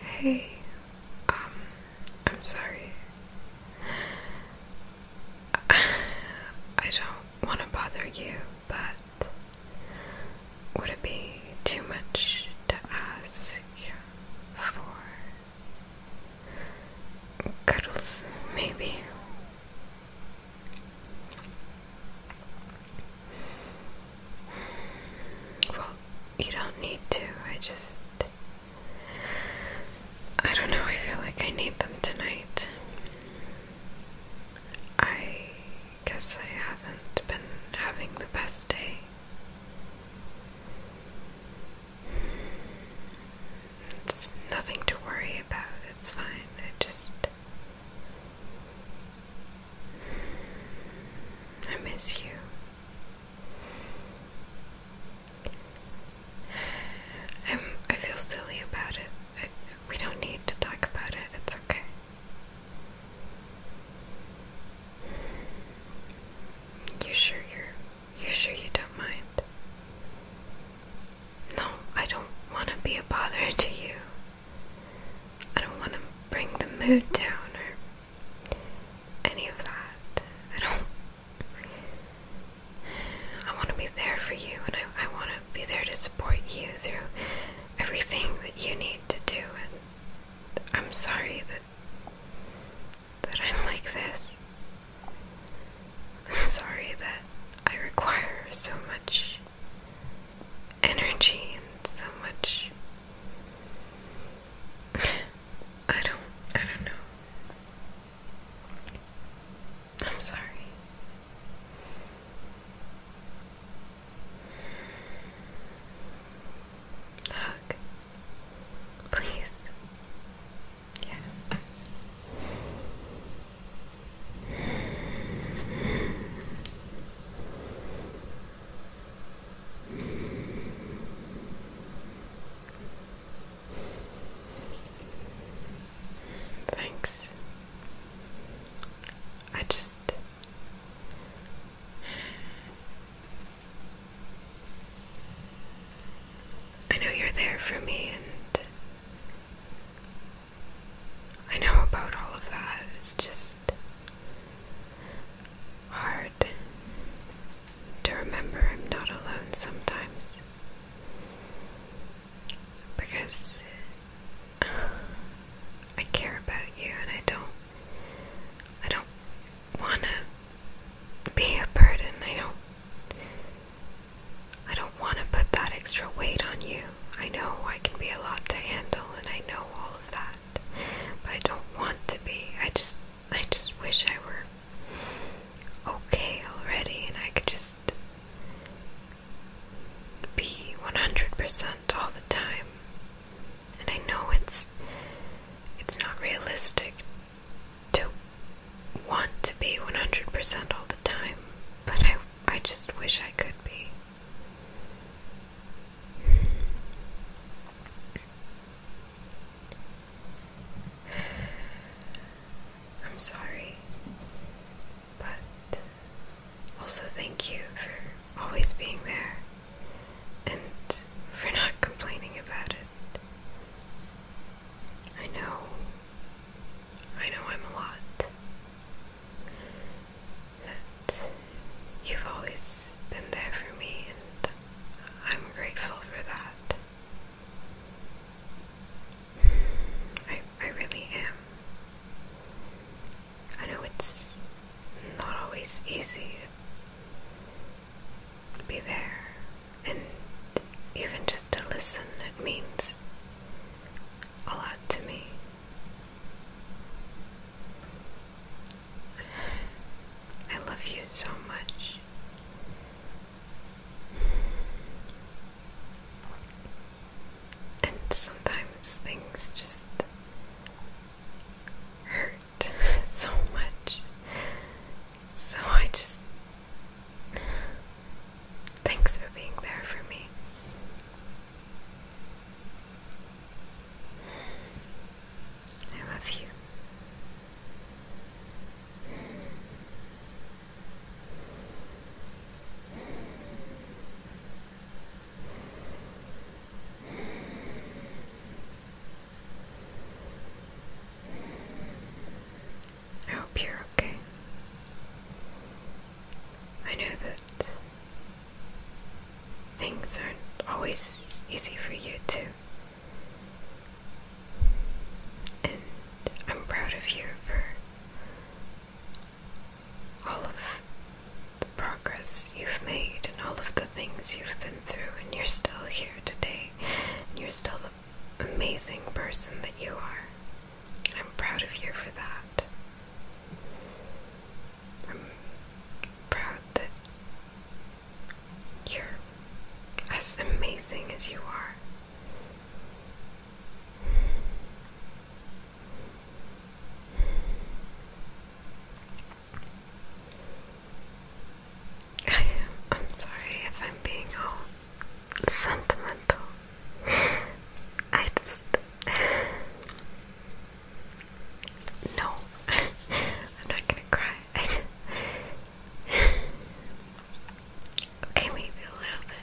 Hey, um, I'm sorry. I don't want to bother you, but would it be too much to ask for cuddles, maybe? Well, you don't need to. I just. I don't know. I feel like I need them tonight. I guess I haven't been having the best day. It's nothing to worry about. It's fine. I just I miss you. I'm, I feel silly about it. we don't need to talk about it. It's okay. You sure you're you sure you don't mind? No, I don't want to be a bother to you. I don't want to bring the mood down or any of that. I don't. I want to be there for you and I, I want to be there to support you through everything that you need to do. And I'm sorry that. That I'm like this. I'm sorry that I require so much energy and so much. I don't. I don't know. I'm sorry. Hug. Please. Yeah. Thanks. I just. I know you're there for me, and I know about all of that. It's just hard to remember I'm not alone sometimes. Because uh, I care about you and I don't I don't wanna be a burden. I don't I don't want to put that extra weight on you. I know I can be a lot to handle and I know all of that. But I don't want to be. I just I just wish I were okay already and I could just be 100% all the time. And I know it's it's not realistic to want to be 100% all the time, but I I just wish I could be. I'm sorry, but also thank you for always being there and for not complaining about it. I know I know I'm a lot. That you've always been there for me, and I'm grateful for that. I, I really am. I know it's not always easy to be there, and even just to listen, it means a lot to me. I love you so much. And sometimes things just hurt so much. So I just Thanks for being there for me. I love you. I hope you're okay. I know that things aren't always easy for you, too. And I'm proud of you for all of the progress you've made and all of the things you've been through, and you're still here today, and you're still the amazing person that you are. I'm proud of you for that. I'm proud that you're as amazing as you are. I am. I'm sorry if I'm being all sentimental. I just. No. I'm not gonna cry. Okay, maybe a little bit.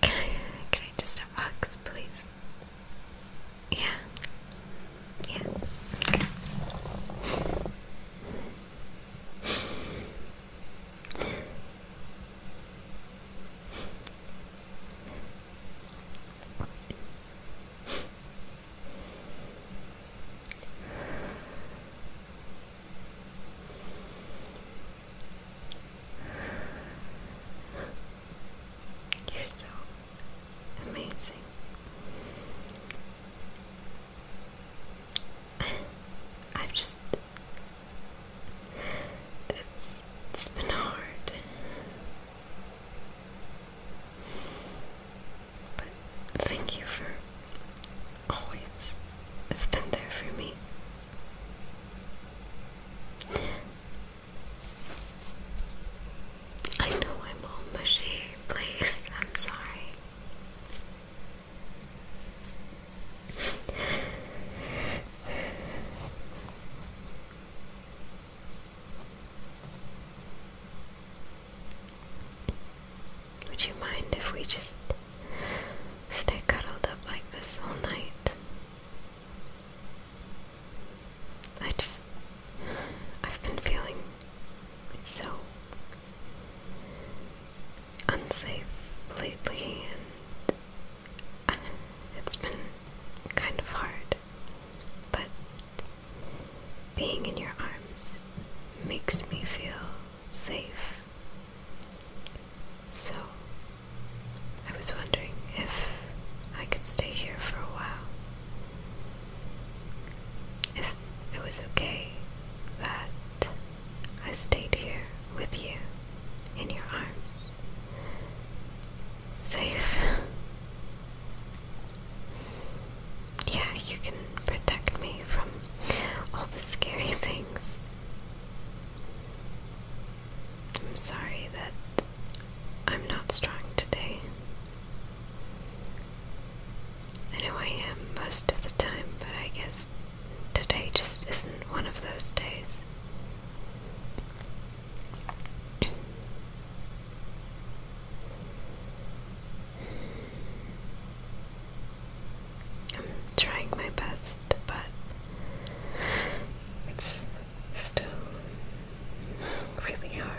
Can I, can I just have hugs, please? Yeah. Yeah. You're so amazing. I've just. It's, it's been hard. But thank you for always have been there for me. I know I'm all mushy, please. I'm sorry. Would you mind if we just stay cuddled up like this all night? I just. I've been feeling so unsafe lately, and it's been kind of hard. But being in your arms makes me feel safe. So, I was wondering if I could stay here for a while. If it was okay that I stayed here with you in your arms. Safe. yeah, you can protect me from all the scary things. I'm sorry that I'm not strong today. I know I am most of the time, but I guess today just isn't one of those days. I'm trying my best, but it's still really hard.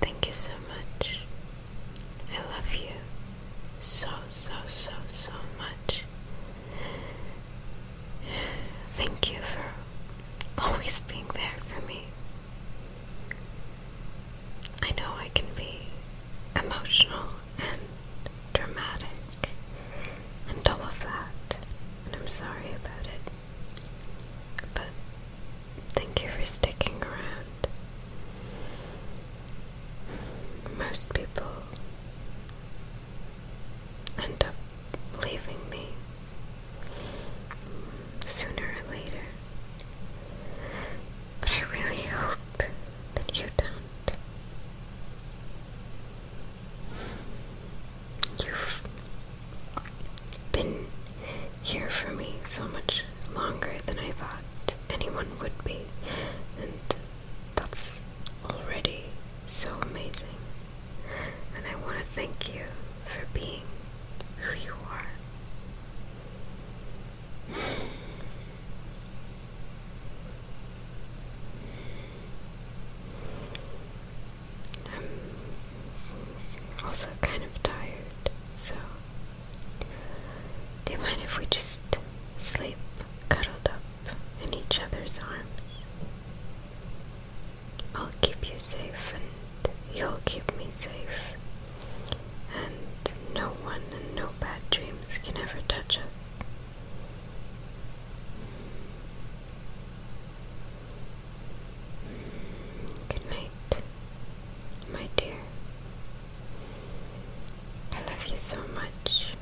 Thank you so much. I love you so, so, so, so much. Thank you for always being there for me. I know I can be emotional and dramatic, and all of that, and I'm sorry about it. But thank you for sticking around. Most people end up leaving me sooner or later. But I really hope that you don't. You've been here for me so much longer than I thought anyone would be, and that's already so amazing. And I want to thank you for being who you are. I'm also kind of tired, so do you mind if we just sleep cuddled up in each other's arms? I'll keep you safe and you'll keep me safe. And no one and no bad dreams can ever touch us. Good night, my dear. I love you so much.